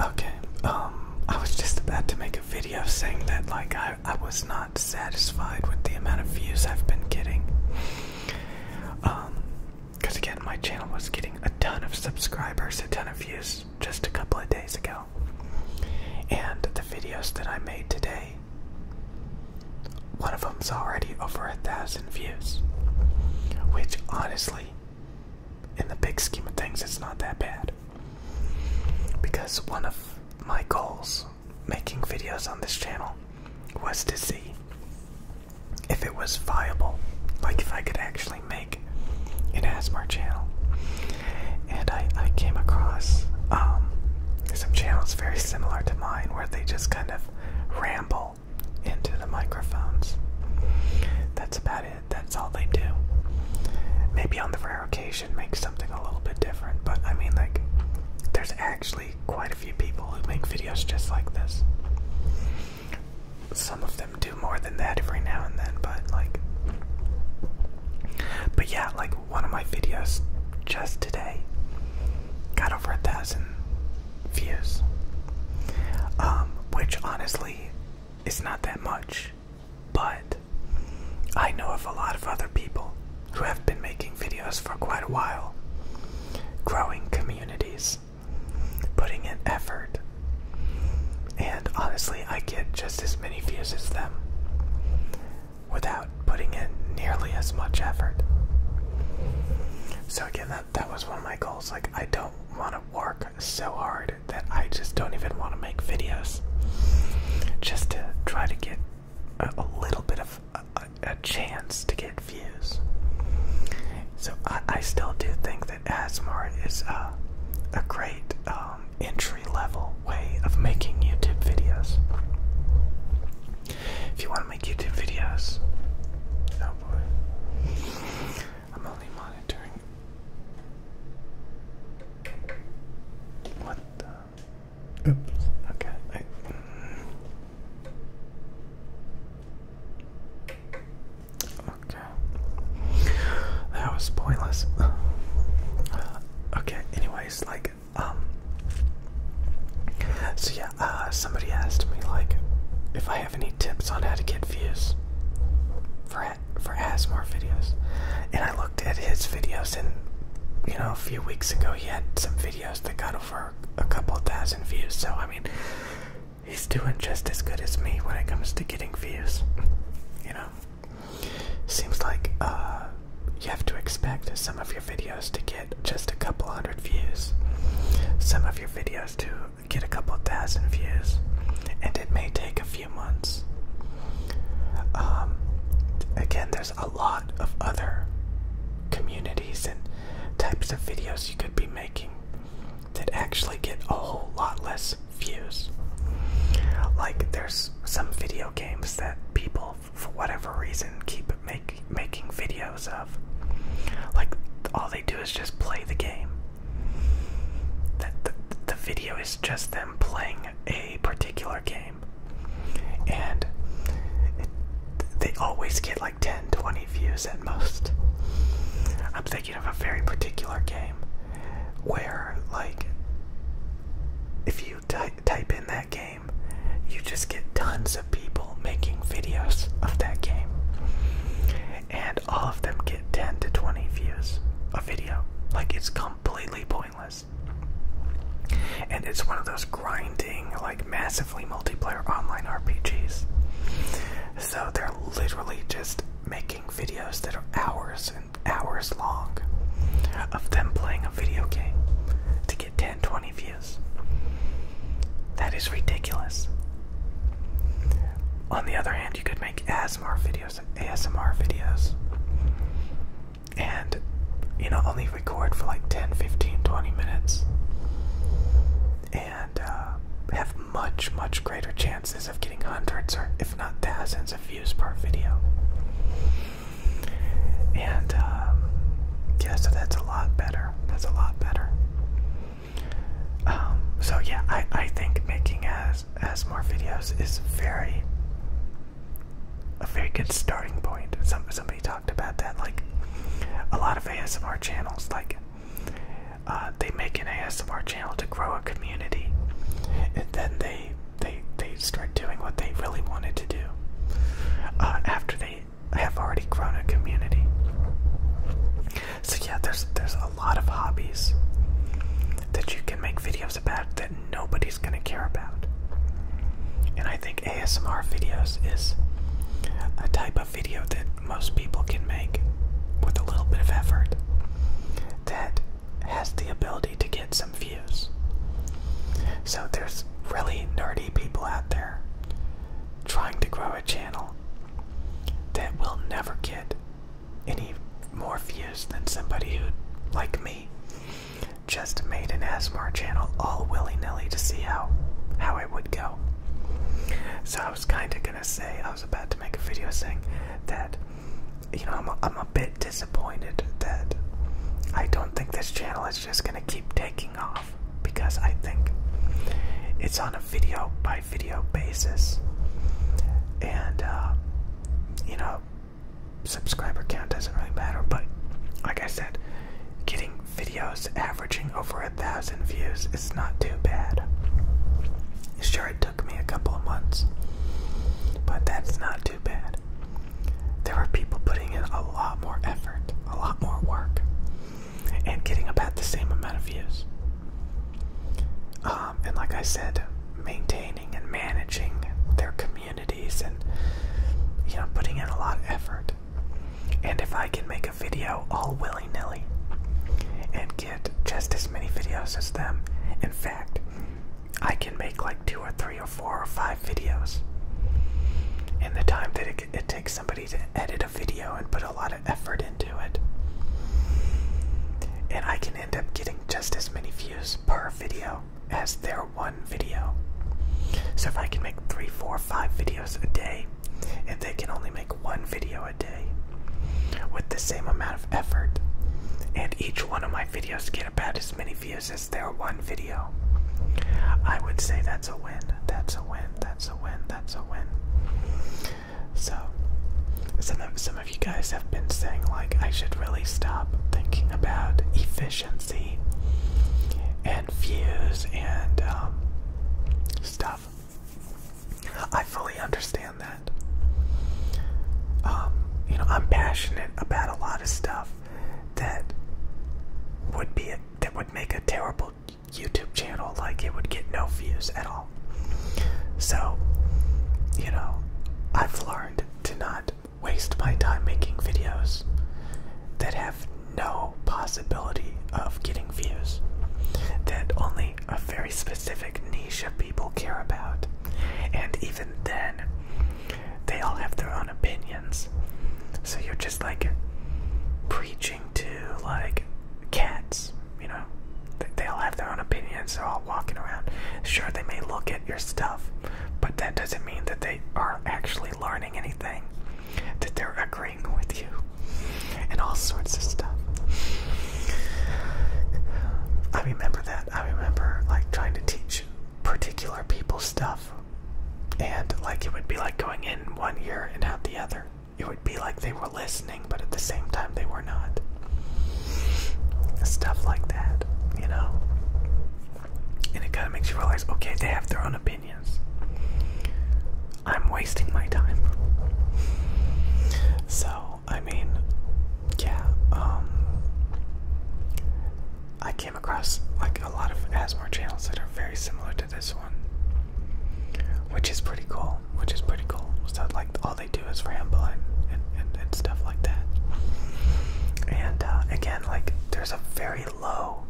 Okay, um, I was just about to make a video saying that, like, I, I was not satisfied with the amount of views I've been getting. Um, because again, my channel was getting a ton of subscribers, a ton of views just a couple of days ago. And the videos that I made today, one of them's already over a thousand views, which honestly in the big scheme of things, it's not that bad. Because one of my goals making videos on this channel was to see if it was viable, like if I could actually make an ASMR channel. And I, I came across um, some channels very similar to mine where they just kind of ramble into the microphones. That's about it. That's all they do. Maybe on the rare occasion make something a little bit different, but I mean like there's actually quite a few people who make videos just like this. Some of them do more than that every now and then, but like But yeah, like one of my videos just today got over a thousand views, um, which honestly is not that much. But I know of a lot of other people who have been making videos for quite a while, growing communities, putting in effort, and honestly, I get just as many views as them without putting in nearly as much effort. So, again, that, that was one of my goals. Like, I don't do want to work so hard that I just don't even want to make videos just to try to get a, little bit of a, chance to get views. So I, still do think that ASMR is a great um, entry level way of making YouTube videos. If you want to make YouTube videos, oh boy. I'm only monitoring. What the? Oops. Okay. Okay. That was pointless. okay. Anyways, like, um. So yeah, uh, somebody asked me like if I have any tips on how to get views for for ASMR videos, and I looked at his videos, and you know a few weeks ago he had some videos that got over a couple thousand views. So I mean, he's doing just as good as me when it comes to getting views. You know, seems like uh, you have to expect some of your videos to get just a couple hundred views, some of your videos to get a couple thousand views, and it may take a few months. Um, again, there's a lot of other communities and types of videos you could be making that actually get a whole lot less views. Like there's some video games that people, for whatever reason, keep making videos of. Like all they do is just play the game. The, the, the video is just them playing a particular game. And they always get like 10, 20 views at most. I'm thinking of a very particular game where, like, if you ty type in that game, you just get tons hundreds people making videos of that game. And all of them get 10 to 20 views a video. Like it's completely pointless. And it's one of those grinding, like massively multiplayer online RPGs. So they're literally just making videos that are hours and hours long of them playing a video game to get 10 20 views. That is ridiculous. On the other hand, you could make ASMR videos, ASMR videos, and you know, only record for like 10, 15, 20 minutes, and uh, have much, much greater chances of getting hundreds or, if not thousands, of views per video. And um, yeah, so that's a lot better. That's a lot better. Um, so yeah, I, I think making as as more videos is very a very good starting point. Some somebody talked about that. Like a lot of ASMR channels, like uh, they make an ASMR channel to grow a community, and then they they they start doing what they really wanted to do uh, after they I have already grown a community. So yeah, there's there's a lot of hobbies that you can make videos about that nobody's gonna care about. And I think ASMR videos is a type of video that most people can make with a little bit of effort that has the ability to get some views. So there's really nerdy people out there trying to grow a channel that will never get any more views than somebody who, like me, just made an ASMR channel all willy-nilly to see how how it would go. So I was kind of gonna say I was about to make a video saying that you know I'm a, I'm a bit disappointed that I don't think this channel is just gonna keep taking because I think it's on a video by video basis. And, uh, you know, subscriber count doesn't really matter, but like I said, getting videos averaging over a thousand views is not too bad. Sure, it took me a couple of months, but that's not too bad. There are people putting in a lot more effort, a lot more work and getting about the same amount of views. Um, and like I said, maintaining and managing their communities and you know putting in a lot of effort. And if I can make a video all willy nilly and get just as many videos as them, in fact, I can make like two or three or four or five videos in the time that it it takes somebody to edit a video and put a lot of effort into it. And I can end up getting just as many views per video as their one video. So if I can make three, four, five videos a day, and they can only make one video a day with the same amount of effort, and each one of my videos get about as many views as their one video, I would say that's a that's a win. That's a win. That's a win. So, some of, some of you guys have been saying, like, I should really stop thinking about efficiency and fuse and um, stuff. I fully understand that. Um, you know, I'm passionate about a lot of stuff that would be a that would make a terrible YouTube channel, like it would get no views at all. So, you know, I've learned to not waste my time making videos that have no possibility of getting views, that only a very specific niche of people care about. And even then, they all have their own opinion so you're just like preaching to like cats, you know? They, they all have their own opinions, they're all walking around. Sure, they may look at your stuff, but that doesn't mean that they are actually learning anything, that they're agreeing with you, and all sorts of stuff. I remember that. I remember like trying to teach particular people stuff and like it would be like going in one ear and out the other. It would be like they were listening, but at the same time they were not. Stuff like that, you know? And it kind of makes you realize okay, they have their own opinions. I'm wasting my time. So, I mean, yeah, um, I can't across like a lot of ASMR channels that are very similar to this one, which is pretty cool. Which is pretty cool. So like all they do is ramble and and, stuff like that. And uh, again, like there's a very low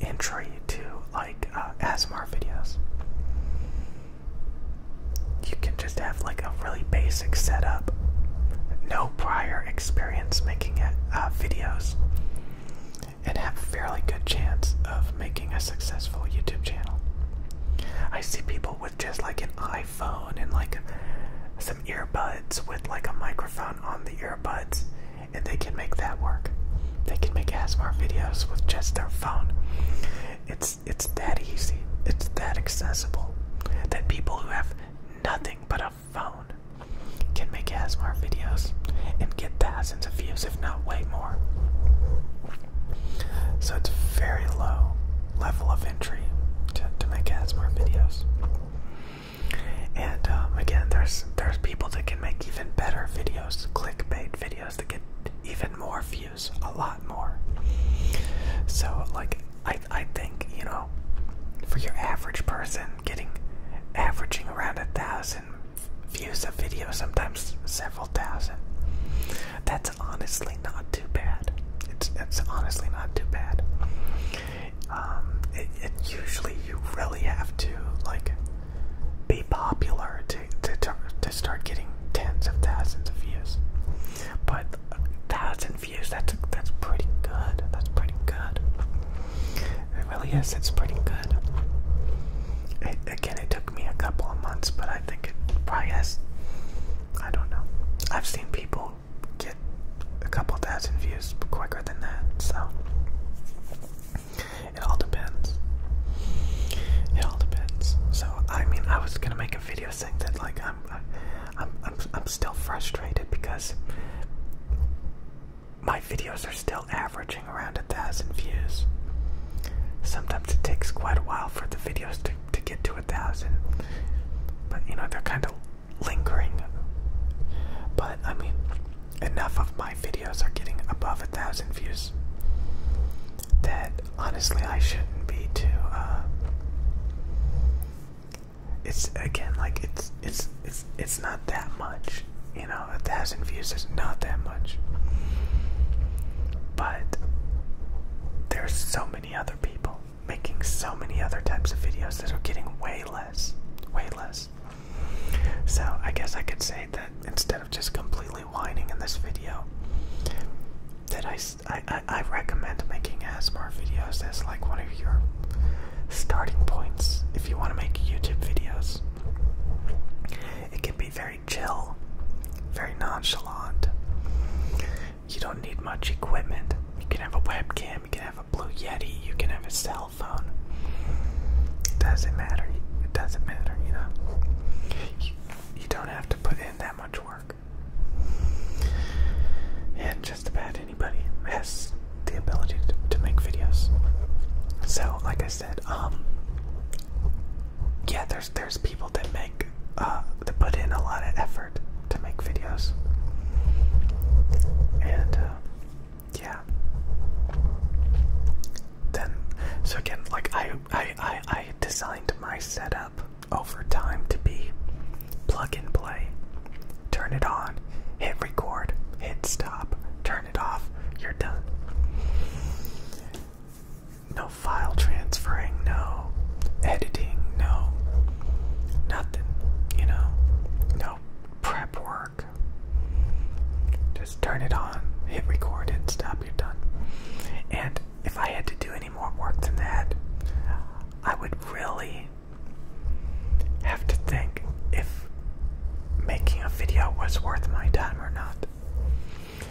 entry to like uh, ASMR videos. You can just have like a really basic setup, no prior experience making it, uh, videos, and have a fairly good chance of making a successful YouTube channel. I see people with just like an iPhone and like some earbuds with like a microphone on the earbuds, and they can make that work. They can make ASMR videos with just their phone. It's it's that easy. It's that accessible that people who have nothing but a phone can make ASMR videos and get thousands of views, if not way more. So it's very low level of entry to, to make ASMR videos. And um, again, there's there's people that can make even better videos, clickbait videos that get even more views, a lot more. So like I I think you know, for your average person, I'm getting averaging around a thousand views a video, sometimes several thousand. That's honestly not too bad. It's it's honestly not too bad. Um, it, it usually you really have to like be popular to to to start getting tens of thousands of views, but a uh, thousand thousand views. That's that's pretty good. That's pretty good. It really It's pretty good. again, it took me a couple of months, but I think it probably has. I don't know. I've seen people get a couple thousand views quicker than that, so it all depends. It all depends. So I mean, I was gonna make a video saying that like I'm, I'm, I'm, I'm still frustrated because my videos are still averaging around a thousand views. Sometimes it takes quite a while for the videos to, to get to a thousand, but you know, they're kind of lingering. But I mean, enough of my videos are getting above a thousand views that honestly I shouldn't be too, uh, it's again like it's it's it's it's not that much. You know, a thousand views is not that much. But there's so many other people making so many other types of videos that are getting way less. Way less. So I guess I could say that instead of just completely whining in this video, that I, I, I recommend making as more videos as like one of your starting points if you want to make YouTube videos. It can be very chill, very nonchalant. You don't need much equipment. You can have a webcam, you can have a Blue Yeti, you can have a cell phone. It doesn't matter. It doesn't matter, you know. You, don't have to put in that much work. And just about anybody has the ability to, to make videos. So, like I said, um, yeah, there's there's people that make uh, that put in a lot of effort to make videos, and uh, yeah. Then, so again, like I I I, I designed my setup over time to be plug and play. Turn it on, hit record, hit stop, turn it off, you're done. No file transferring, no editing, no nothing, you know, no prep work. Just turn it on, hit record, hit stop, you're done. And if I had to do any more work than that, I would really have to think if making a video was worth my time or not.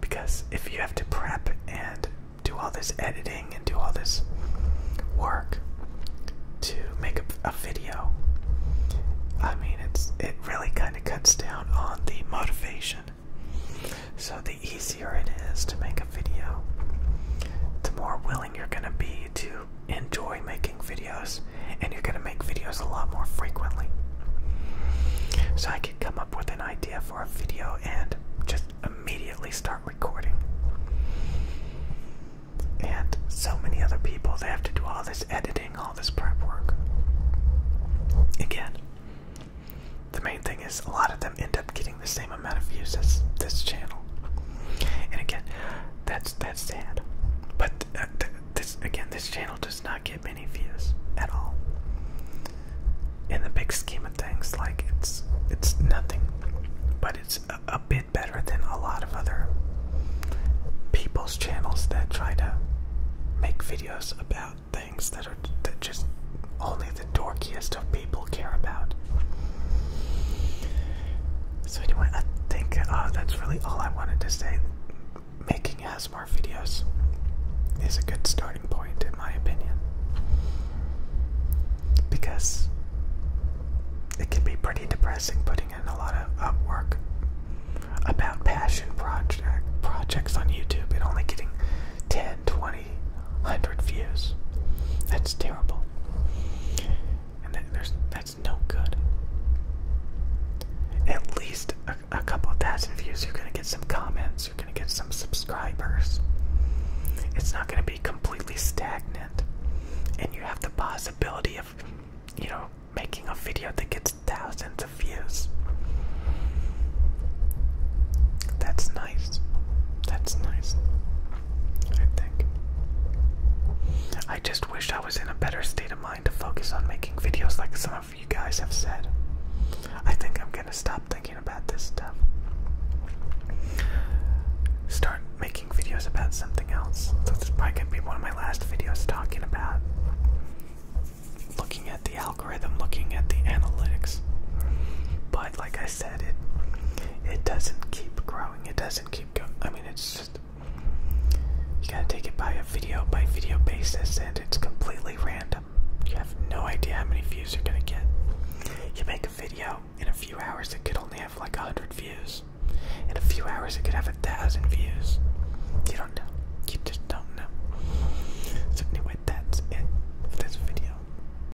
Because if you have to prep and do all this editing and do all this work to make a, video, I mean, it's it really kind of cuts down on the motivation. So the easier it is to make a video, the more willing you're gonna be to enjoy making videos and you're gonna make videos a lot more frequently. So I can come up with an idea for a video and just immediately start recording. And so many other people, they have to do all this editing, all this prep work. Again, the main thing is a lot of them end up getting the same amount of views as this channel. And again, that's that's sad. But uh, this again, this channel does not get many views at all. In the big scheme of things, like it's it's nothing, but it's a bit better than a lot of other people's channels that try to make videos about things that are that just only the dorkiest of people care about. So anyway, I think uh, that's really all I wanted to say. Making ASMR videos is a good starting point, in my opinion, because it can be pretty depressing putting in a lot of work about passion project projects on YouTube and only getting 10, Hundred views. That's terrible. And that's no good. At least a, a couple thousand views, you're gonna get some comments, you're gonna get some subscribers. It's not gonna be completely stagnant. And you have the possibility of, you know, making a video that gets thousands of views. That's nice. That's nice. I think. I just wish I was in a better state of mind to focus on making videos like some of you guys have said. I think I'm gonna stop thinking about this stuff. Start making videos about something else. So this is probably gonna be one of my last videos talking about looking at the algorithm, looking at the analytics. But like I said said it it doesn't keep growing. It doesn't keep going. I mean, it's just you gotta take it by a video by video basis, and it's completely random. You have no idea how many views you're gonna get. You make a video in a few hours, it could only have like a hundred views. In a few hours, it could have a thousand views. You don't know. You just don't know. So anyway, that's it this video.